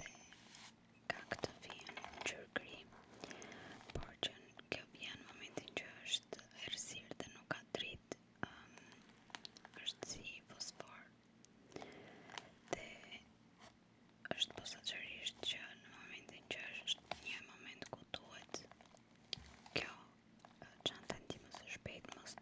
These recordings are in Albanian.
dhe ka këtë vijën qërgëri, por që në kjo vijën që është erësirë dhe nuk ka tritë, um, është si fosfor dhe është posacerisht që në momentin që është nje moment ku tuhet kjo që në të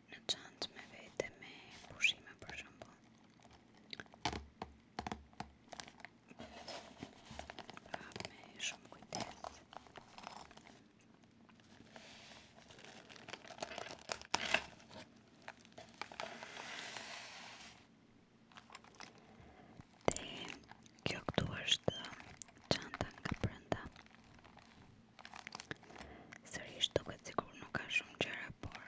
Në me vete, me pushime, për shumëpër. me shumë kujtjes. Ti, kjo është qanta nga përënda. Sërrisht, duke cikur nuk ka shumë qera, por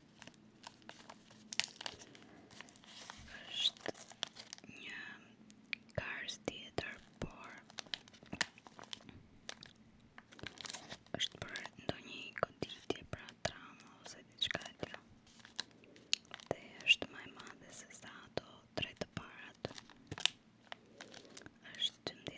është një tjetër por është për ndonjë pra ose diçka është madhe se sa ato të parat. Është me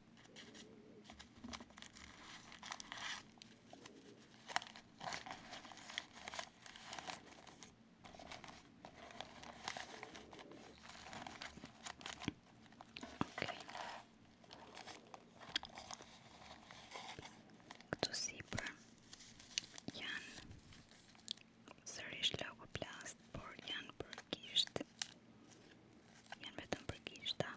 Këtu sipër janë sërish logoplast, por janë përgisht, janë vetëm përgishta.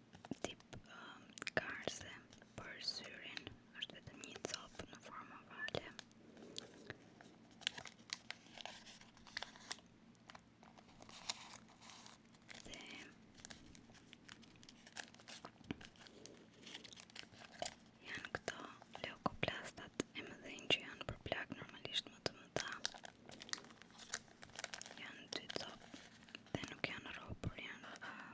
tip um, karse për syrin është vetëm një copë në formë avale janë këto leokoplastat e më që janë për plakë normalisht më të mëta janë 2 copë dhe nuk janë rohë, janë uh,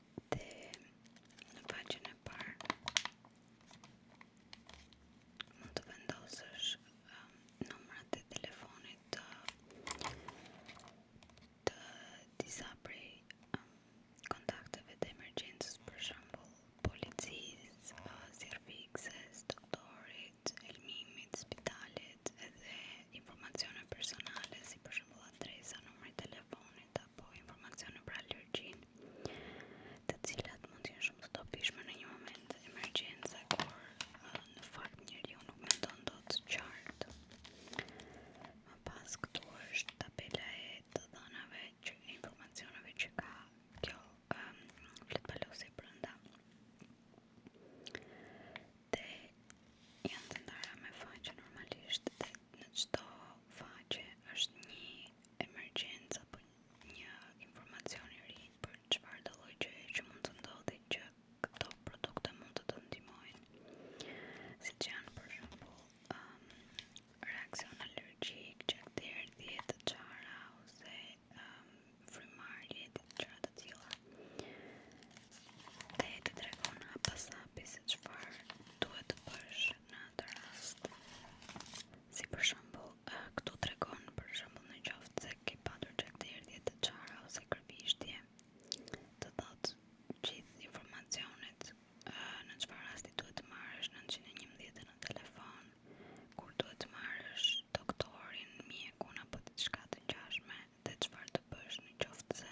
te në faqen e parë mund të vendosësh um, numrat e telefonit të disa um, kontakteve të emergjencës për shemb policisë, zyrëfixes, doktorit, familjes, spitalit edhe informacione personale si për shembull adresa, numri i telefonit apo informacione për allergjin të cilat mund të jenë shumë stopishme në një moment emergjensakor në fakt njerë nuk me ndonë qartë. Më pas këtu është tabela e të dhënave, informacioneve që ka kjo fletëpallosi për nda. Dhe janë të me faqe normalisht dhe në qëto faqe është një emergjens apo një informacioni rrit për qëfar doloj që mund të ndodhi që këto produkte mund të të ndimojnë janë për shumëpull um, reakcion allergjik që këtër dhjetë të ose um, frumar dhjetit të qara të cila dhe e të dregojnë hapa sapi se qëfar duhet të përshë Në atër rast, si për shëmbull, këtu të për shëmbull në qoftë cek, kej patur që të qara ose kërbishtje, të thotë qith informacionet në qëfar rasti duhet të marrësh 911 në telefon, kur duhet të marrësh doktorin, mie, kuna, për të qka dhe qëfar të pëshë në qoftë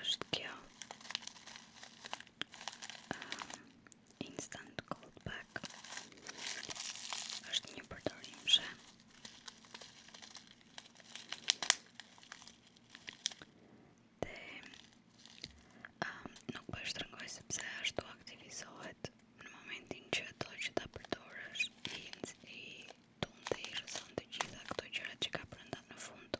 është kjo ehm, Instant Gold është një përtori mshe dhe ehm, nuk pështë po rëngoj sepse ashtu aktivizohet në momentin që do që ta përtore ishtë i tunë dhe të gjitha këto qërët që ka përëndat në fund